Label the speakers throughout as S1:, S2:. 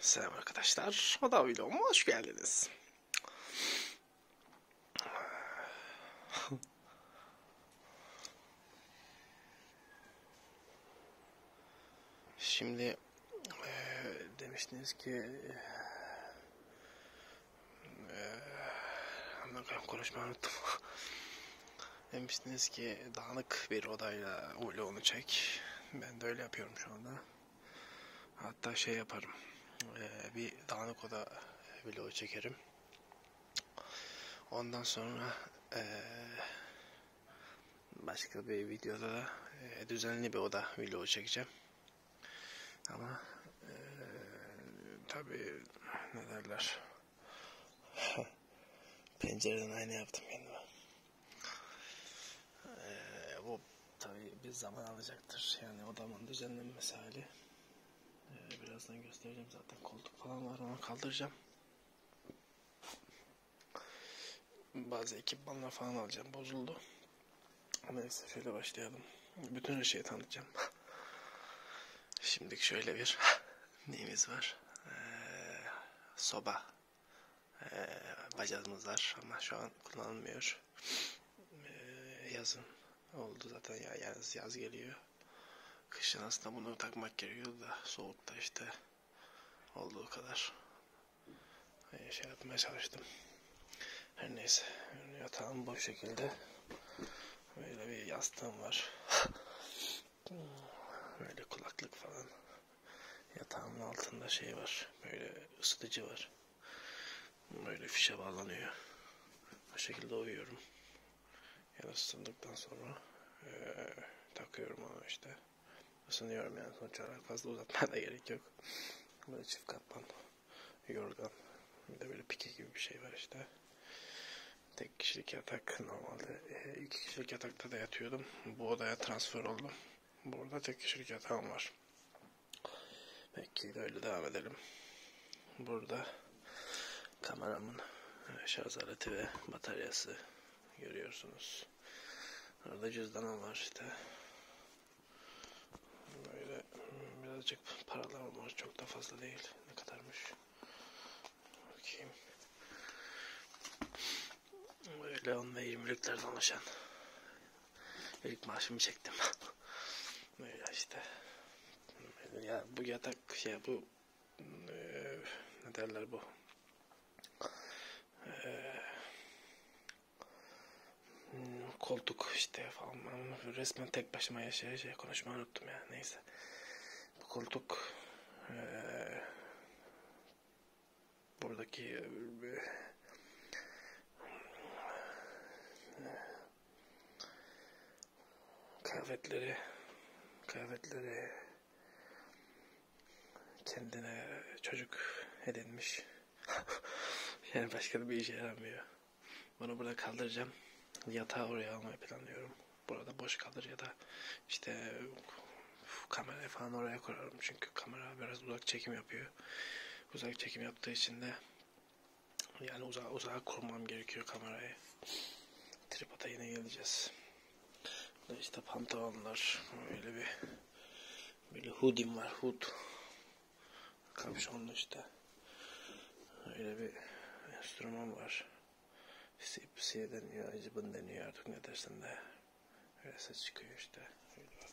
S1: Selam arkadaşlar. Oda videoma hoş geldiniz. Şimdi e, demiştiniz ki e, Ee, konuşmayı unuttum. Demiştiniz ki dağınık bir odayla vloğunu çek. Ben de öyle yapıyorum şu anda. Hatta şey yaparım. Ee, bir dağınık oda vlogu çekerim. Ondan sonra ee, başka bir videoda da e, düzenli bir oda vlogu çekeceğim. Ama e, tabii ne derler pencereden ayna yaptım kendime. E, bu tabii bir zaman alacaktır. Yani odamın düzenlenmesi hali. E, birazdan göstereceğim zaten koltuk falan var onu kaldıracağım. Bazı ekipmanlar falan alacağım bozuldu. Neyse şöyle başlayalım. Bütün her şeyi tanıtacağım. Şimdiki şöyle bir neyimiz var? Ee, soba. Ee, bacağımız var ama şu an kullanılmıyor. Ee, yazın oldu zaten ya yaz, yaz geliyor. Kışın aslında bunu takmak gerekiyor da soğukta işte olduğu kadar ee, şey yapmaya çalıştım. Her neyse. Yatağım bu şekilde. Böyle bir yastığım var. böyle kulaklık falan. Yatağımın altında şey var. Böyle ısıtıcı var. Böyle fişe bağlanıyor. Bu şekilde uyuyorum. Yani ısındıktan sonra ee, takıyorum onu işte. Isınıyorum yani sonuç olarak fazla uzatmaya da gerek yok. Böyle çift katman. Yorgan. Bir de böyle pike gibi bir şey var işte. Tek kişilik yatak normalde. E, iki kişilik yatakta da yatıyordum. Bu odaya transfer oldum. Burada tek kişilik yatağım var. Belki de öyle devam edelim. Burada kameramın e, şarj aleti ve bataryası görüyorsunuz. Orada cüzdanım var işte. Böyle birazcık paralarım var. Çok da fazla değil. Ne kadarmış? Bakayım. Öyle 10 ve 20'liklerden oluşan ilk maaşımı çektim. Böyle işte. Ya bu yatak ya bu e, ne derler bu? E, Hmm, koltuk işte falan. Ben resmen tek başıma yaşaya şey konuşmayı unuttum ya. Neyse. Bu koltuk ee, buradaki e, kıyafetleri kıyafetleri kendine çocuk edinmiş. yani başka bir işe yaramıyor. Bunu burada kaldıracağım. Yatağı oraya almayı planlıyorum. Burada boş kalır ya da işte kamera falan oraya kurarım. Çünkü kamera biraz uzak çekim yapıyor. Uzak çekim yaptığı için de yani uzağa, uzağa kurmam gerekiyor kamerayı. Tripod'a yine geleceğiz. Burada işte pantolonlar. Öyle bir böyle hoodim var. Hood. Kapşonlu işte. Öyle bir enstrüman var. Sipsiye deniyor, acıbın deniyor artık ne dersen de. Öyle ses çıkıyor işte. Öyle bak.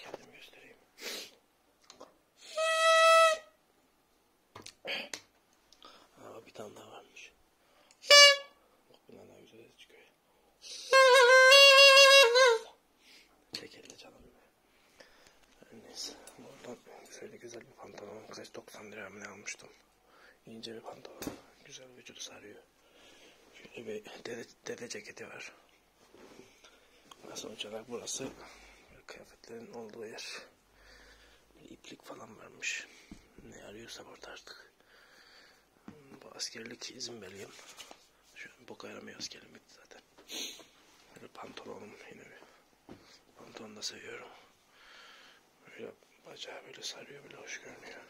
S1: Kendim göstereyim. Ama bir tane daha varmış. Bak bundan daha güzel ses çıkıyor. Çekildi canım. Neyse buradan şöyle güzel bir pantolon. Kaç 90 lira mı almıştım. İnce bir pantolon. Güzel vücudu sarıyor. Şöyle bir dede, dede ceketi var. Sonuç olarak burası kıyafetlerin olduğu yer. Bir iplik falan varmış. Ne arıyorsa orada artık. Bu askerlik izin belgem. Şu an bok ayıramıyor askerim bitti zaten. Böyle pantolonum yine bir pantolonu da seviyorum. Böyle bacağı böyle sarıyor böyle hoş görünüyor.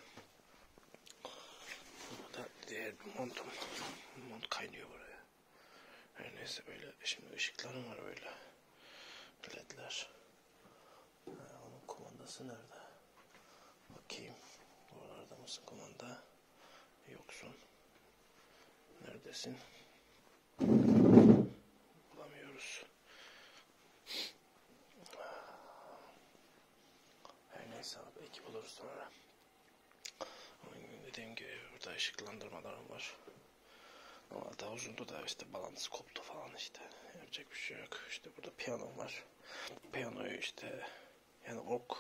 S1: Bu da diğer bir montum. Mont kaynıyor buraya. Her neyse böyle şimdi ışıklarım var böyle. Ledler. Ha, onun kumandası nerede? Bakayım. Buralarda mısın kumanda? Yoksun. Neredesin? Bulamıyoruz. Her neyse belki buluruz sonra. Dediğim gibi burada ışıklandırmalarım var. Ama daha uzundu da işte balans koptu falan işte. Yapacak bir şey yok. İşte burada piyano var. Piyanoyu işte yani ok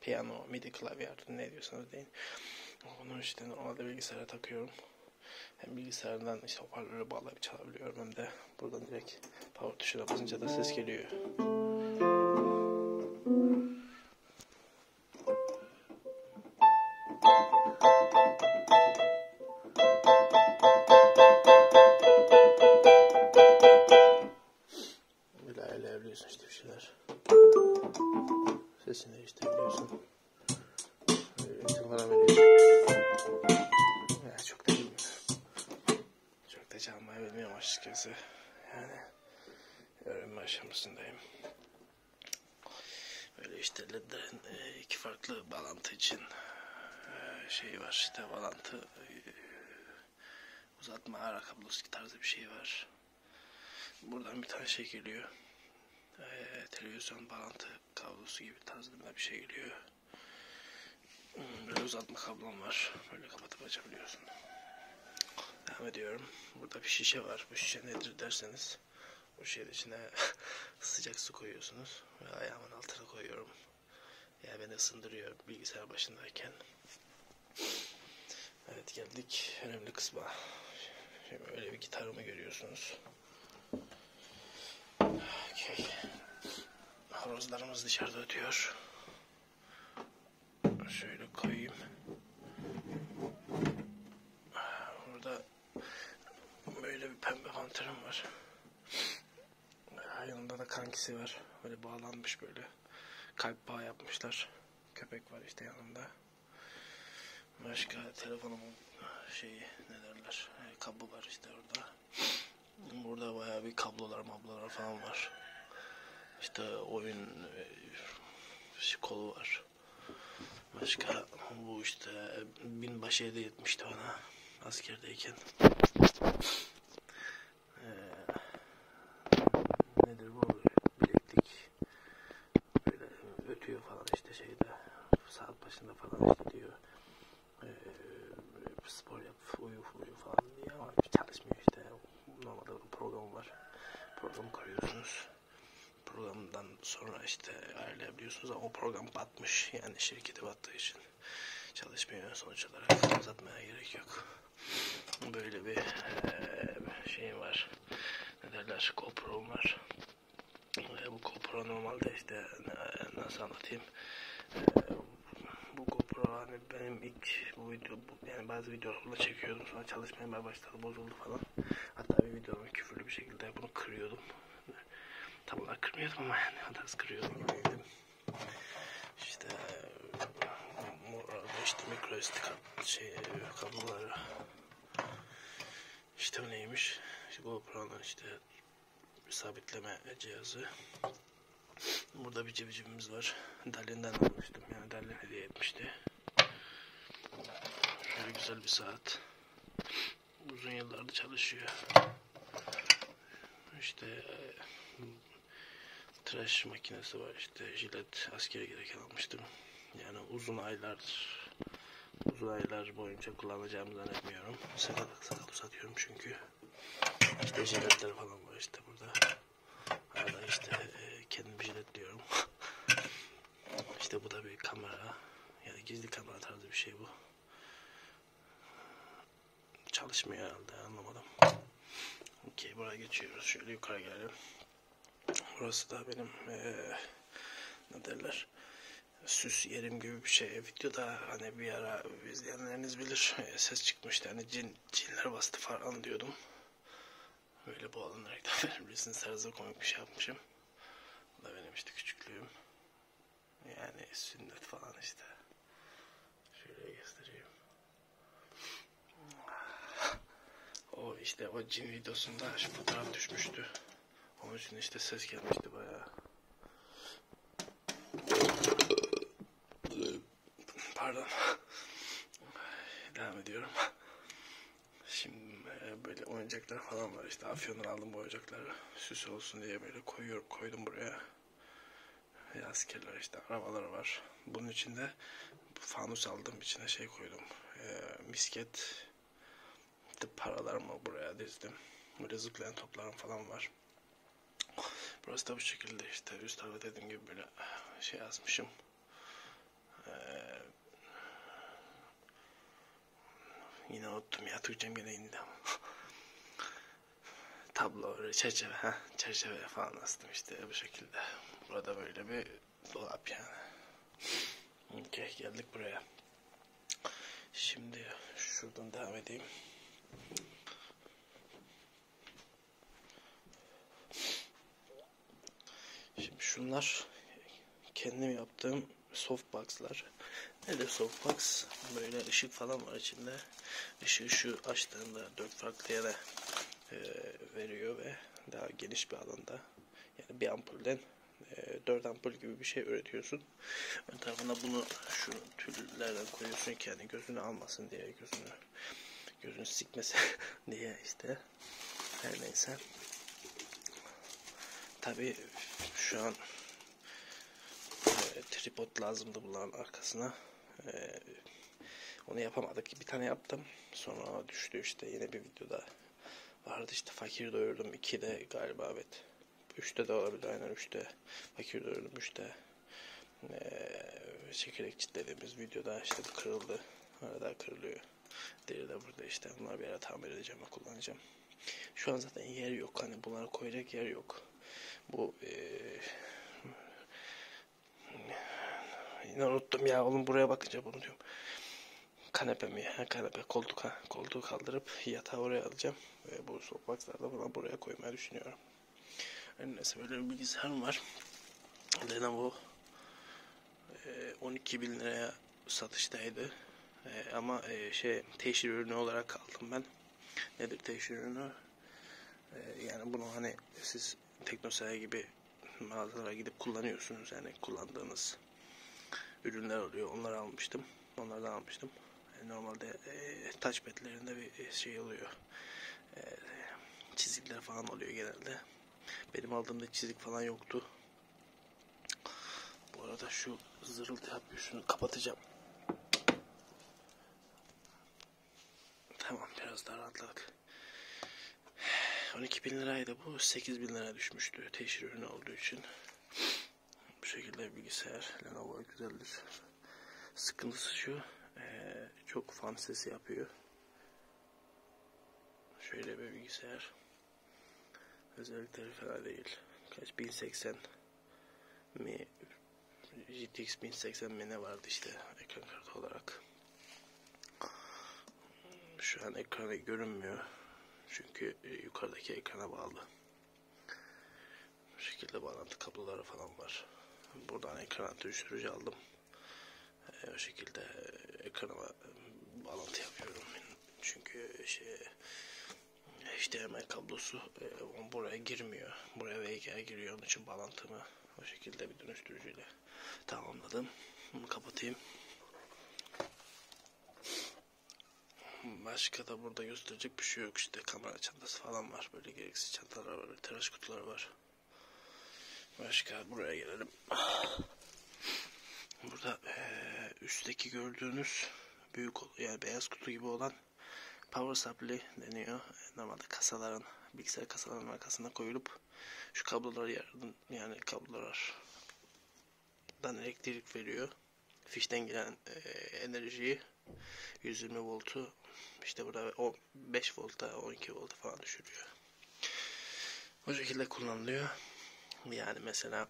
S1: piyano, midi klavye artık ne diyorsanız deyin. Onu işte normalde bilgisayara takıyorum. Hem bilgisayardan işte hoparlörü bağlayıp çalabiliyorum hem de buradan direkt power tuşuna basınca da ses geliyor. Böyle ayarlayabiliyorsun işte bir şeyler. Sesini değiştirebiliyorsun. Böyle tınlara veriyorsun. Ya çok da bilmiyorum. Çok da çalmayı bilmiyorum açıkçası. Yani öğrenme aşamasındayım. Böyle işte LED'den e, iki farklı bağlantı için e, şey var işte bağlantı e, uzatma ara kablosu tarzı bir şey var. Buradan bir tane şey geliyor. Ee, televizyon bağlantı kablosu gibi tarzında bir şey geliyor. Hmm, böyle uzatma kablom var. Böyle kapatıp açabiliyorsun. Devam ediyorum. Burada bir şişe var. Bu şişe nedir derseniz. Bu şişenin içine sıcak su koyuyorsunuz. Ve ayağımın altına koyuyorum. Ya yani beni ısındırıyor bilgisayar başındayken. Evet geldik önemli kısma. Şimdi böyle bir gitarımı görüyorsunuz. Okay. Horozlarımız dışarıda ötüyor. Şöyle koyayım. Burada böyle bir pembe panterim var. Yanımda da kankisi var. Böyle bağlanmış böyle. Kalp bağı yapmışlar. Köpek var işte yanında. Başka telefonumun şeyi ne derler e, kabı var işte orada. Burada bayağı bir kablolar mablolar falan var. İşte oyun e, kolu var. Başka bu işte e, binbaşı hediye etmişti bana askerdeyken ee, nedir bu bileklik böyle ötüyor falan işte şeyde saat başında falan işte diyor ee, spor yap uyu uyu falan diye ama çalışmıyor işte normalde bir program var program koyuyorsunuz programdan sonra işte ayarlayabiliyorsunuz ama o program batmış yani şirketi battığı için çalışmıyor sonuç olarak uzatmaya gerek yok. Böyle bir şey var. Ne derler? GoPro'm var. Bu GoPro normalde işte nasıl anlatayım? Bu GoPro hani benim ilk bu video bu, yani bazı videolarla çekiyordum sonra çalışmaya başladı bozuldu falan. Hatta bir videomu küfürlü bir şekilde bunu kırıyordum. Tam olarak kırmıyordum ama yani biraz kırıyordum gibiydim. İşte işte mikro SD şey, kabloları işte bu neymiş işte GoPro'nun işte sabitleme cihazı burada bir cebicimiz var Dalin'den almıştım yani Dalin hediye etmişti şöyle güzel bir saat uzun yıllarda çalışıyor işte e, tıraş makinesi var işte jilet askere gereken almıştım. Yani uzun aylardır uzun aylar boyunca kullanacağımı zannetmiyorum. Sakal sakal uzatıyorum çünkü. İşte jiletler falan var işte burada. Hala işte e, kendim jiletliyorum. işte bu da bir kamera. Yani gizli kamera tarzı bir şey bu. Çalışmıyor herhalde anlamadım. Okey buraya geçiyoruz. Şöyle yukarı gelelim. Burası da benim ee, ne derler süs yerim gibi bir şey. Videoda hani bir ara izleyenleriniz bilir ses çıkmıştı. Hani cin, cinler bastı falan diyordum. Böyle boğalanarak da verebilirsiniz. Tarzda komik bir şey yapmışım. Bu da benim işte küçüklüğüm. Yani sünnet falan işte. Şöyle göstereyim. O işte o cin videosunda şu fotoğraf düşmüştü. Onun için işte ses gelmişti bayağı. Pardon. Devam ediyorum. Şimdi e, böyle oyuncaklar falan var işte. Afyon'dan aldım bu oyuncakları. Süs olsun diye böyle koyuyorum, koydum buraya askerler işte arabaları var. Bunun içinde fanus aldım içine şey koydum. E, misket paralarımı buraya dizdim. Böyle zıplayan toplarım falan var. Burası da bu şekilde işte üst tarafa dediğim gibi böyle şey yazmışım. Ee, yine unuttum ya Türkçem yine indi ama tablo, çerçeve, ha, çerçeve falan astım işte bu şekilde. Burada böyle bir dolap yani. Okey geldik buraya. Şimdi şuradan devam edeyim. Şimdi şunlar kendim yaptığım softbox'lar. Ne de softbox? Böyle ışık falan var içinde ışığı şu açtığında dört farklı yere e, veriyor ve daha geniş bir alanda yani bir ampulden e, 4 ampul gibi bir şey üretiyorsun. Ön tarafına bunu şu tüllerden koyuyorsun ki yani gözünü almasın diye gözünü gözünü sikmesin diye işte her neyse tabi şu an e, tripod lazımdı bunların arkasına. E, onu yapamadık. Bir tane yaptım. Sonra düştü işte yine bir videoda vardı işte fakir doyurdum 2'de galiba evet. 3'te de olabilir aynen 3'te fakir doyurdum 3'te ee, çekirdek dediğimiz videoda işte bu kırıldı. Arada kırılıyor. Deri de burada işte bunları bir ara tamir edeceğim ve kullanacağım. Şu an zaten yer yok hani bunları koyacak yer yok. Bu e, yine unuttum ya oğlum buraya bakınca bunu diyorum. Kanepe mi ya? Kanepe koltuk ha. Koltuğu kaldırıp yatağı oraya alacağım. Ve bu sokaklarda falan buraya koymayı düşünüyorum. Yani neyse böyle bir bilgisayarım var. Lenovo e, 12 bin liraya satıştaydı. E, ama e, şey teşhir ürünü olarak aldım ben nedir teşhir ürünü? Ee, yani bunu hani siz teknosaya gibi mağazalara gidip kullanıyorsunuz. Yani kullandığınız ürünler oluyor. Onları almıştım. Onlardan almıştım. Yani normalde e, touchpad'lerinde bir e, şey oluyor. E, çizikler falan oluyor genelde. Benim aldığımda çizik falan yoktu. Bu arada şu zırıltı yapıyor. Şunu kapatacağım. Tamam biraz daha rahatladık. 12 bin liraydı bu. 8 bin lira düşmüştü teşhir ürünü olduğu için. Bu şekilde bilgisayar Lenovo güzeldir. Sıkıntısı şu. Ee, çok fan sesi yapıyor. Şöyle bir bilgisayar. Özellikleri fena değil. Kaç? 1080 mi GTX 1080 mi ne vardı işte ekran kartı olarak. Şu an ekrana görünmüyor. Çünkü e, yukarıdaki ekrana bağlı. Bu şekilde bağlantı kabloları falan var. Buradan ekran dönüştürücü aldım. E, o şekilde ekranıma e, bağlantı yapıyorum. Çünkü şey HDMI kablosu e, buraya girmiyor. Buraya VGA giriyor. Onun için bağlantımı o şekilde bir dönüştürücüyle tamamladım. Bunu kapatayım. Başka da burada gösterecek bir şey yok. İşte kamera çantası falan var. Böyle gereksiz çantalar var. Böyle tıraş kutuları var. Başka buraya gelelim. Burada e, üstteki gördüğünüz büyük yani beyaz kutu gibi olan power supply deniyor. Normalde kasaların, bilgisayar kasalarının arkasına koyulup şu kablolar yardım, yani kablolardan elektrik veriyor. Fişten giren e, enerjiyi 120 voltu işte burada 5 volta 12 volta falan düşürüyor. O şekilde kullanılıyor. Yani mesela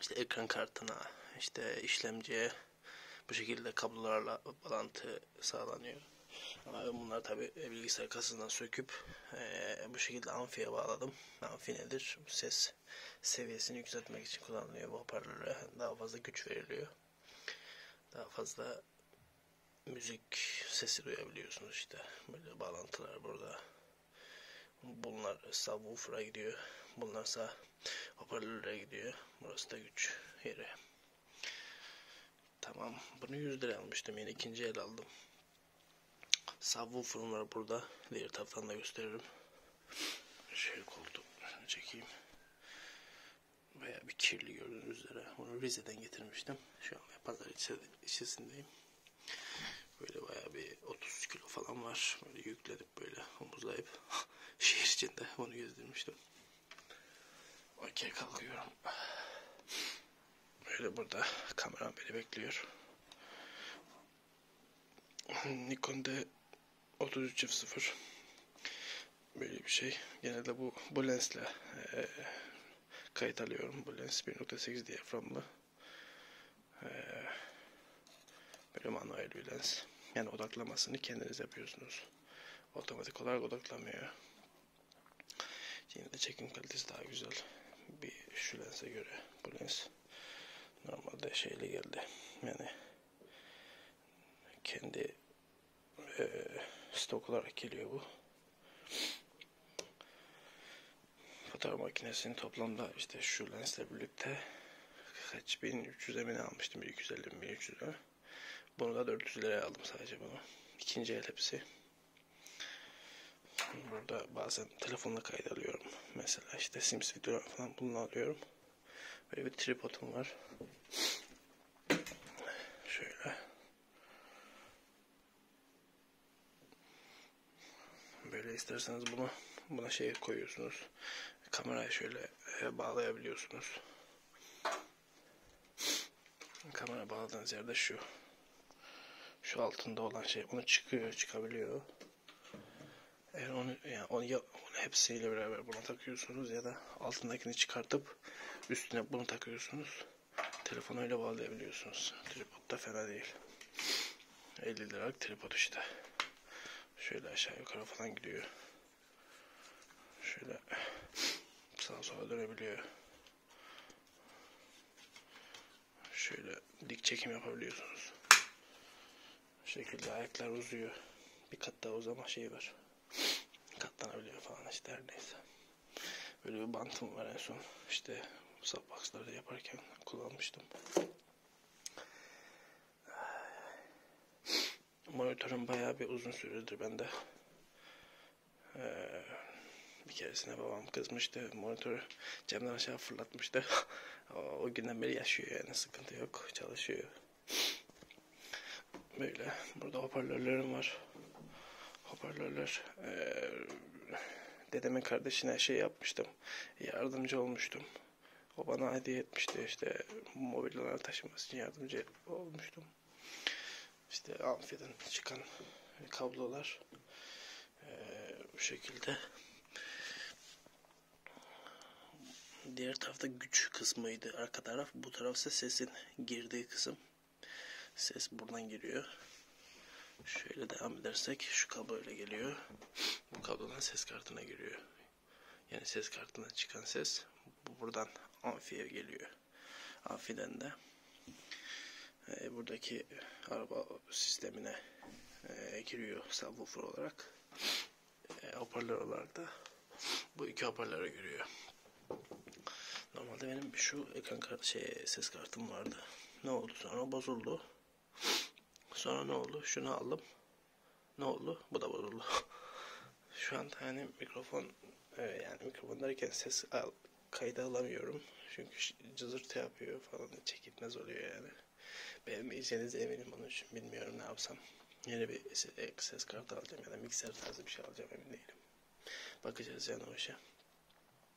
S1: işte ekran kartına, işte işlemciye bu şekilde kablolarla bağlantı sağlanıyor. Ama ben bunları tabi e, bilgisayar kasasından söküp e, bu şekilde amfiye bağladım. Amfi nedir? Ses seviyesini yükseltmek için kullanılıyor bu hoparlöre. Daha fazla güç veriliyor. Daha fazla müzik sesi duyabiliyorsunuz işte. Böyle bağlantılar burada. Bunlar subwoofer'a gidiyor. Bunlarsa hoparlöre gidiyor. Burası da güç yeri. Tamam. Bunu 100 lira almıştım. Yine ikinci el aldım. Subwoofer'ım var burada. Diğer taraftan da gösteririm. Şöyle koltuğu çekeyim. Veya bir kirli gördüğünüz üzere. Bunu Rize'den getirmiştim. Şu an pazar içerisindeyim. Böyle bayağı bir 30 kilo falan var. Böyle yükledim gezdirmiştik böyle omuzlayıp. Şehir içinde onu gezdirmiştim. Okey kalkıyorum. Böyle burada kameram beni bekliyor. Nikon D 3300 böyle bir şey. Genelde bu bu lensle e, kayıt alıyorum. Bu lens 1.8 diyaframlı e, böyle manuel bir lens. Yani odaklamasını kendiniz yapıyorsunuz. Otomatik olarak odaklamıyor. Yine de çekim kalitesi daha güzel. Bir şu lense göre bu lens normalde şeyli geldi. Yani kendi e, stok olarak geliyor bu fotoğraf makinesini toplamda işte şu lensle birlikte kaç 1300 emin almıştım 250 1300 e. Bunu da 400 liraya aldım sadece bunu. İkinci el hepsi. Burada bazen telefonla kayıt alıyorum. Mesela işte Sims video falan bunu alıyorum. Böyle bir tripodum var. Şöyle. Böyle isterseniz bunu buna şey koyuyorsunuz. Kamerayı şöyle e, bağlayabiliyorsunuz. Kamera bağladığınız yerde şu. Şu altında olan şey. Onu çıkıyor, çıkabiliyor. Eğer onu, yani onu, ya, onu hepsiyle beraber buna takıyorsunuz ya da altındakini çıkartıp üstüne bunu takıyorsunuz. Telefonu öyle bağlayabiliyorsunuz. Tripod da fena değil. 50 liralık tripod işte. Şöyle aşağı yukarı falan gidiyor. Şöyle sağa sola dönebiliyor. Şöyle dik çekim yapabiliyorsunuz. Bu şekilde ayaklar uzuyor. Bir kat daha uzama şeyi var. Katlanabiliyor falan işte her neyse. Böyle bir bantım var en son. İşte subboxlarda yaparken kullanmıştım. Monitörüm bayağı bir uzun süredir bende. Ee, bir keresine babam kızmıştı. Monitörü camdan aşağı fırlatmıştı. o, o günden beri yaşıyor yani sıkıntı yok. Çalışıyor. Böyle. Burada hoparlörlerim var. Hoparlörler. Ee, dedemin kardeşine şey yapmıştım. Yardımcı olmuştum. O bana hediye etmişti işte mobilyaları taşıması için yardımcı olmuştum. İşte amfiden çıkan kablolar ee, bu şekilde. Diğer tarafta güç kısmıydı arka taraf. Bu tarafsa sesin girdiği kısım. Ses buradan giriyor. Şöyle devam edersek şu kablo öyle geliyor. Bu kablodan ses kartına giriyor. Yani ses kartından çıkan ses bu buradan amfiye geliyor. Amfiden de e, buradaki araba sistemine e, giriyor subwoofer olarak. E, hoparlör olarak da bu iki hoparlöre giriyor. Normalde benim şu ekran kart, şey ses kartım vardı. Ne oldu sonra bozuldu. Sonra ne oldu? Şunu aldım. Ne oldu? Bu da bozuldu. Şu an hani mikrofon yani mikrofondayken ses al, kayda alamıyorum. Çünkü cızırtı yapıyor falan. Çekilmez oluyor yani. Beğenmeyeceğiniz eminim onun için. Bilmiyorum ne yapsam. Yeni bir e, ses kartı alacağım ya da mikser tarzı bir şey alacağım emin değilim. Bakacağız yani o işe.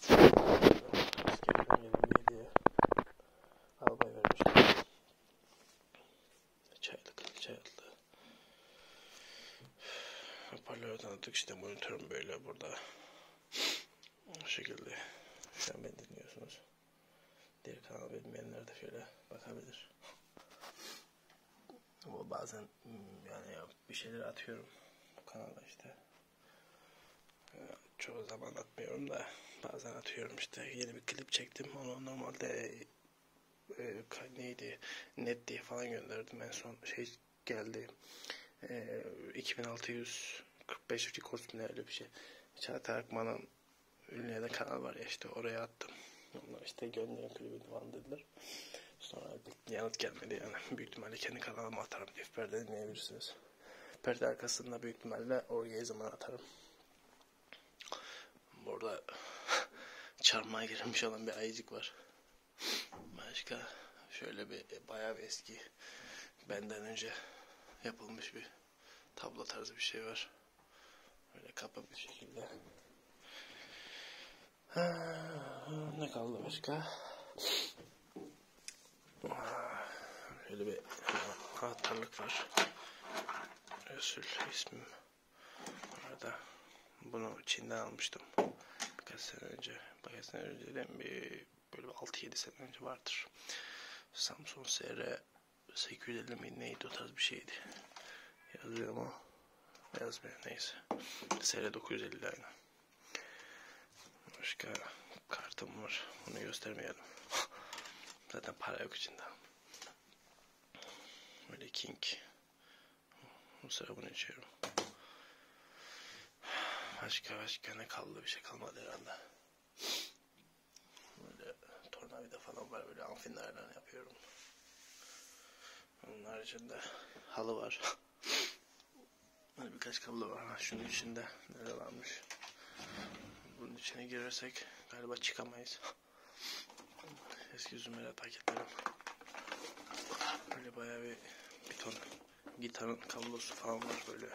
S1: Askerden gelen bir hediye. Albay vermiş. Çaylık, çaylıklı. Hoparlörden attık işte monitörüm böyle burada. Bu şekilde. Şu an beni dinliyorsunuz. Diğer kanalı bilmeyenler de şöyle bakabilir. Ama bazen Hmm, yani bir şeyler atıyorum kanala işte. Çoğu zaman atmıyorum da bazen atıyorum işte yeni bir klip çektim onu normalde e, neydi net diye falan gönderdim en son şey geldi e, 2645 rekord mu öyle bir şey Çağatay Akman'ın ünlü ya da kanal var ya işte oraya attım onlar işte gönderin klibini falan dediler Sonra bir yanıt gelmedi yani. Büyük ihtimalle kendi kanalıma atarım diye perde dinleyebilirsiniz. Perde arkasında büyük ihtimalle oraya zaman atarım. Burada çarmıha girilmiş olan bir ayıcık var. Başka şöyle bir e, bayağı bir eski benden önce yapılmış bir tablo tarzı bir şey var. Böyle kapa bir şekilde. Ha, ne kaldı başka? Şöyle bir anahtarlık var. Resul ismim. Burada bunu Çin'den almıştım. Birkaç sene önce. Birkaç sene önce de bir böyle 6-7 sene önce vardır. Samsung SR 850 mi neydi o tarz bir şeydi. Yazıyor ama yazmıyor neyse. SR 950 aynen. Başka kartım var. Onu göstermeyelim. Zaten para yok içinde. Böyle king. Bu sıra bunu içiyorum. Başka başka ne kaldı bir şey kalmadı herhalde. Böyle tornavida falan var böyle amfinlerden yapıyorum. Onun haricinde halı var. Böyle hani birkaç kablo var. Şunun içinde neler varmış. Bunun içine girersek galiba çıkamayız. Eski Zümera paketlerim. Böyle bayağı bir, bir ton gitarın kablosu falan var böyle.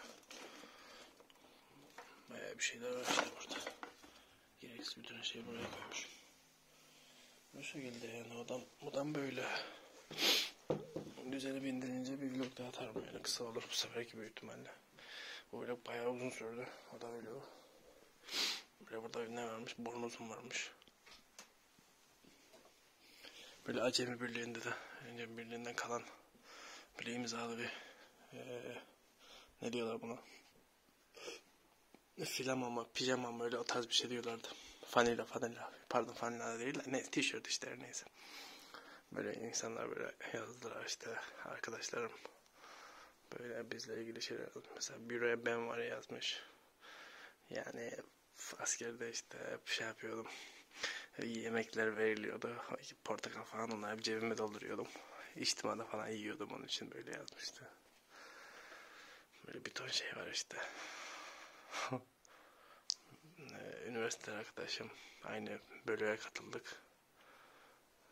S1: Bayağı bir şeyler var işte burada. Gereksiz bütün şey buraya koymuşum. Bu şekilde yani odam, odam böyle. Düzeni bindirince bir vlog daha atarım yani kısa olur bu seferki büyük ihtimalle. Bu vlog bayağı uzun sürdü. O da vlogu. Böyle burada ne varmış? Bornozum varmış. Böyle Acemi Birliği'nde de Acemi Birliği'nden kalan böyle imzalı bir ee, ne diyorlar buna? filamama, pijamama öyle o tarz bir şey diyorlardı. Fanila fanila. Pardon fanila değil. Ne, t-shirt işte her neyse. Böyle insanlar böyle yazdılar işte arkadaşlarım. Böyle bizle ilgili şeyler Mesela büroya ben var yazmış. Yani askerde işte hep şey yapıyordum. Yemekler veriliyordu. Portakal falan onları hep cebime dolduruyordum. İçtimada falan yiyordum onun için böyle yazmıştı. Böyle bir ton şey var işte. Ee, Üniversite arkadaşım aynı bölüye katıldık.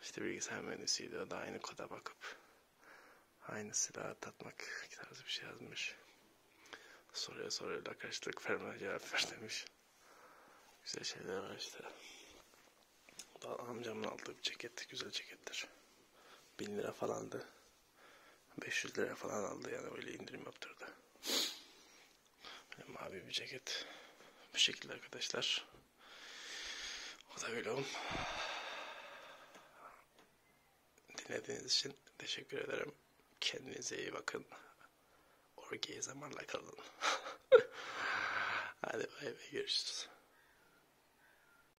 S1: İşte bilgisayar mühendisiydi o da aynı koda bakıp aynı silahı tatmak tarzı bir şey yazmış. Soruya soruyla kaçtık Ferman cevap ver demiş. Güzel şeyler var işte. Da amcamın aldığı bir ceket güzel cekettir. Bin lira falandı. 500 lira falan aldı yani öyle indirim yaptırdı. Böyle mavi bir ceket. Bu şekilde arkadaşlar. O da vlogum. Dinlediğiniz için teşekkür ederim. Kendinize iyi bakın. Orgiye zamanla kalın. Hadi bay bay görüşürüz.